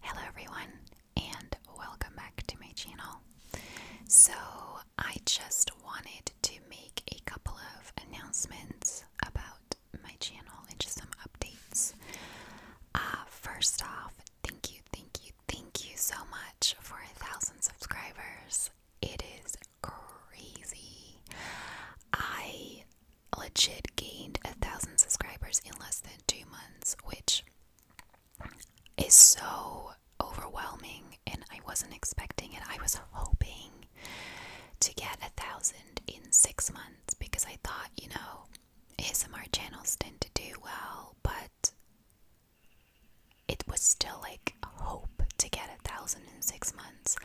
Hello everyone and welcome back to my channel. So I just wanted to make a couple of announcements about my channel and just some updates. Uh, first off, thank you, thank you, thank you so much for a thousand subscribers. It is crazy. I legit gained a thousand subscribers in less than two months, which is so overwhelming. And I wasn't expecting it. I was hoping to get a thousand in six months because I thought, you know, ASMR channels tend to do well, but it was still like a hope to get a thousand in six months.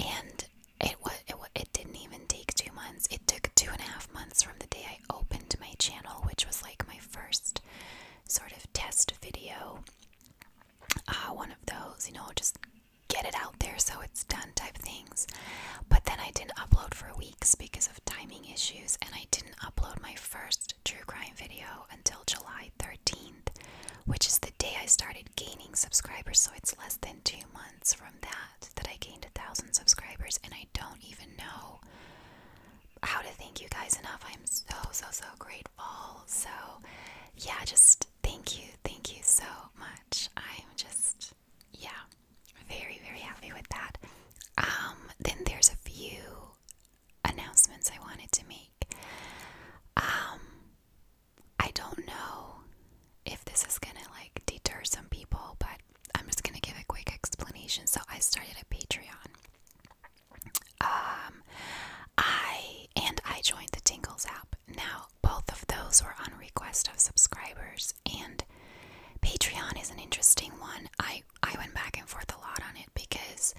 And it was it, didn't even take two months. It took two and a half months from the day I opened my channel, which was like my first sort of test video. Ah, one of those, you know, just get it out there so it's done type things. But then I didn't upload for weeks because of timing issues, and I didn't upload my first true crime video until July 13th, which is the day I started gaining subscribers, so it's less than two months from that that I gained a thousand subscribers, and I don't even know how to thank you guys enough. I'm so, so, so grateful. So, yeah, just thank you. Thank you so much. I'm just, yeah, very, very happy with that. Um, then there's a few announcements I wanted to make. Um, I don't know if this is gonna like deter some people, but I'm just gonna give a quick explanation. So I started a Patreon. Um, I and I joined the Tingles app. Now both of those were on request of subscribers, and Patreon is an interesting one. I I went back and forth a lot on it because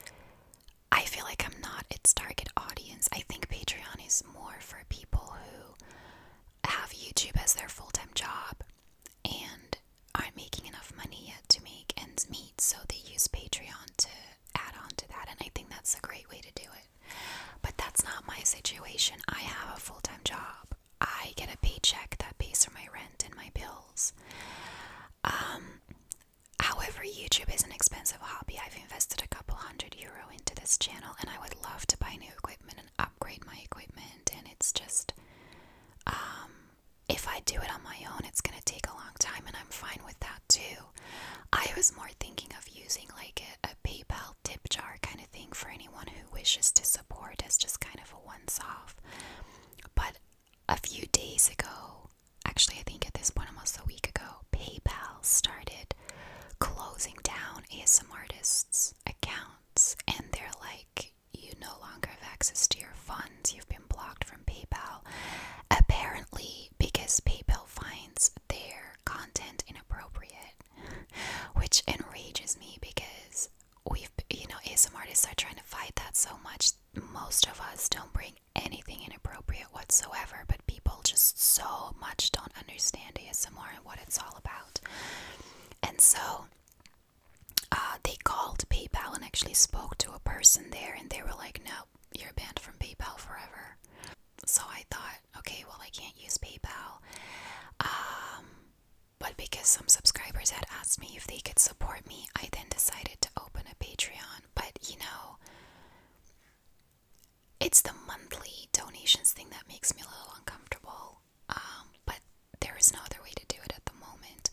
I feel like I'm not its target audience. I think Patreon is more for people who have YouTube as their full time job and aren't making enough money yet to make ends meet, so they use Patreon to add on to that, and I think that's a great way to do it. But that's not my situation. I have a full time job, I get a paycheck that pays for my rent and my bills. Um, however, YouTube is an expensive hobby. I've invested a couple hundred euro into this channel, and I would love to buy new equipment and upgrade my equipment and it's just um, if I do it on my own it's going to take a long time and I'm fine with that too. I was more thinking of using like a, a PayPal tip jar kind of thing for anyone who wishes to support as just kind of a once off. But a few days ago, actually I think at this point almost a week ago, PayPal started closing down ASM artists' accounts and they're like, you no longer have access to your funds, you've been blocked from PayPal. Apparently, because PayPal finds their content inappropriate, which enrages me because we've, you know, ASMR artists are trying to fight that so much. Most of us don't bring anything inappropriate whatsoever, but people just so much don't understand ASMR and what it's all about. And so uh, they called PayPal and actually spoke to a person there, and they were like, "No, you're banned from PayPal forever." So I thought, okay, well, I can't use PayPal. Um, but because some subscribers had asked me if they could support me, I then decided to open a Patreon. But you know, it's the monthly donations thing that makes me a little uncomfortable. Um, but there is no other way to do it at the moment.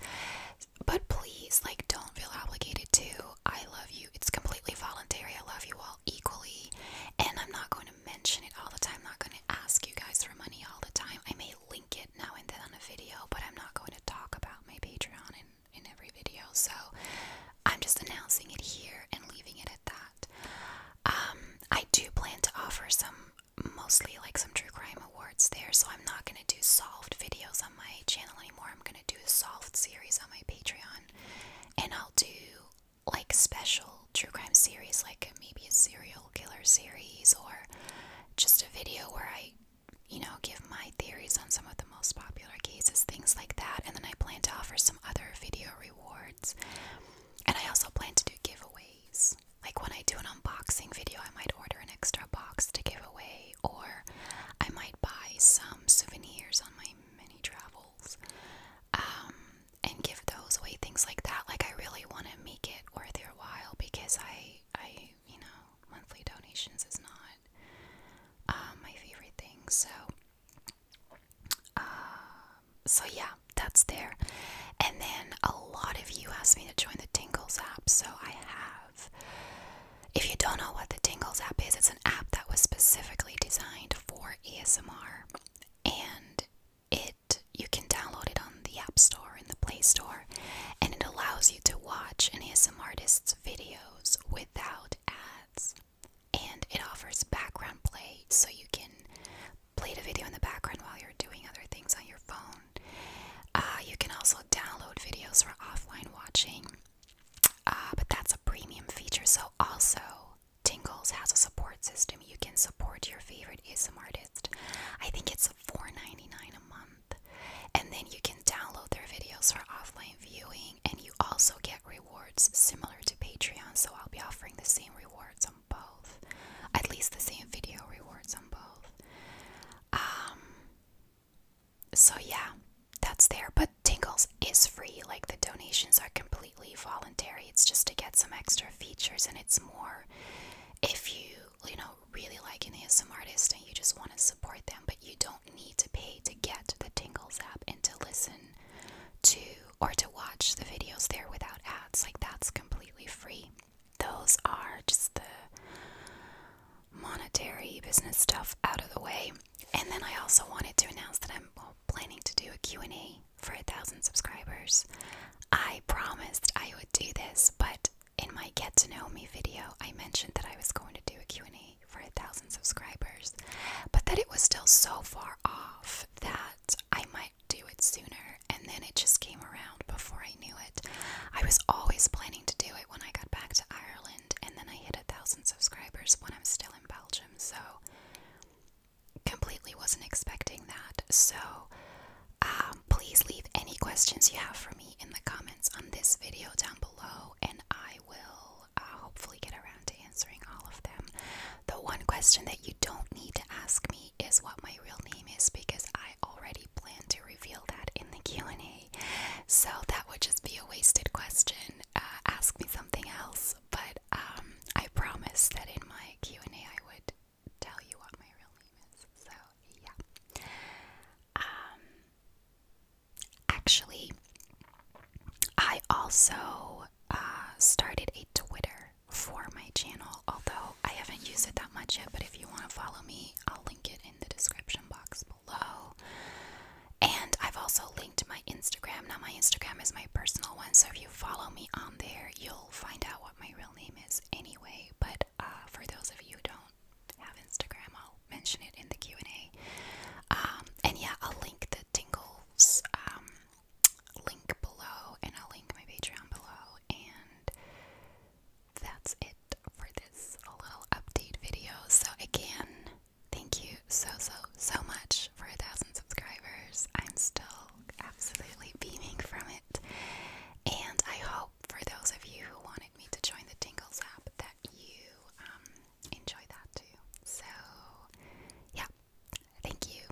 But please, like, don't feel obligated to. I love you. It's completely voluntary. I love you all equally. And I'm not going to mention it all the time. I'm not going to ask you guys for money all the time. I may link it now and then on a video, but I'm not going to talk about my Patreon in, in every video. So I'm just announcing it here and leaving it at that. Um, I do plan to offer some mostly like some true crime awards there, so I'm not gonna do solved videos on my channel anymore. I'm gonna do a solved series on my Patreon, and I'll do like special true crime series, like maybe a serial killer series or just a video where I, you know, give my theories on some of the most popular cases, things like that. And then I plan to offer some other video rewards, and I also plan to do giveaways like when I do an unboxing video, I might order an extra box to give away, or I might buy some souvenirs on my many travels um, and give those away, things like that. Like I really want to make it worth your while because I, I, you know, monthly donations is not uh, my favorite thing. So, uh, so yeah, that's there. And then a lot of you asked me to join the Tingles app, so I have. If you don't know what the Tingles app is, it's an app that was specifically designed for ASMR, and it you can download it on the App Store and the Play Store, and it allows you to watch an ASMR artist's videos without ads, and it offers background play so you can Play the video in the background while you're doing other things on your phone. Uh, you can also download videos for offline watching, uh, but that's a premium feature. So, also, Tingles has a support system. You can support your favorite ASM artist. I think it's $4.99 a month. And then you can download their videos for offline viewing, and you also get rewards similar to Patreon. So, I'll be offering the same rewards both. At least the same video rewards on both. Um, so yeah, that's there. But Tingles is free. Like the donations are completely voluntary. It's just to get some extra features and it's more if you, you know, really like an ASM artist and you just want to support them, but you don't need to pay to get the Tingles app and to listen to or to watch the videos there without ads. Like, that's completely free. Those are just the monetary business stuff out of the way. And then I also wanted to announce that I'm planning to do a Q&A for a thousand subscribers. I promised I would do this, but in my get to know me video, I mentioned that I was going to do a Q&A for a thousand subscribers, but that it was still so far off that I might do it sooner and then it just came around before I knew it. I was always planning to do it when I got back to Ireland, and then I hit a thousand subscribers when I'm still in Belgium, so completely wasn't expecting that. So, um, please leave any questions you have for me in the comments on this video down below, and I will uh, hopefully get around to answering all of them. The one question that you don't need to ask me is what my real name is because I already plan to reveal that in the Q&A. So that would just be a wasted question. Uh, ask me something else, but um, I promise that in my Q&A I would tell you what my real name is. So, yeah. Um, actually I also uh, started a Twitter for my channel, although I haven't used it that much yet. But if you want to follow me, I'll link it in the description box below. And I've also linked my Instagram. Now, my Instagram is my personal one, so if you follow me on there, you'll find out what my real name is anyway. But uh, for those of you who don't have Instagram, I'll mention it in the Q and A. Um, and yeah, I'll link the Tingles um, link below, and I'll link my Patreon below. And that's it for this little update video. So, again, thank you so, so, so much for a thousand subscribers. I'm still absolutely beaming from it. And I hope for those of you who wanted me to join the Tingles app that you um, enjoy that too. So, yeah, thank you.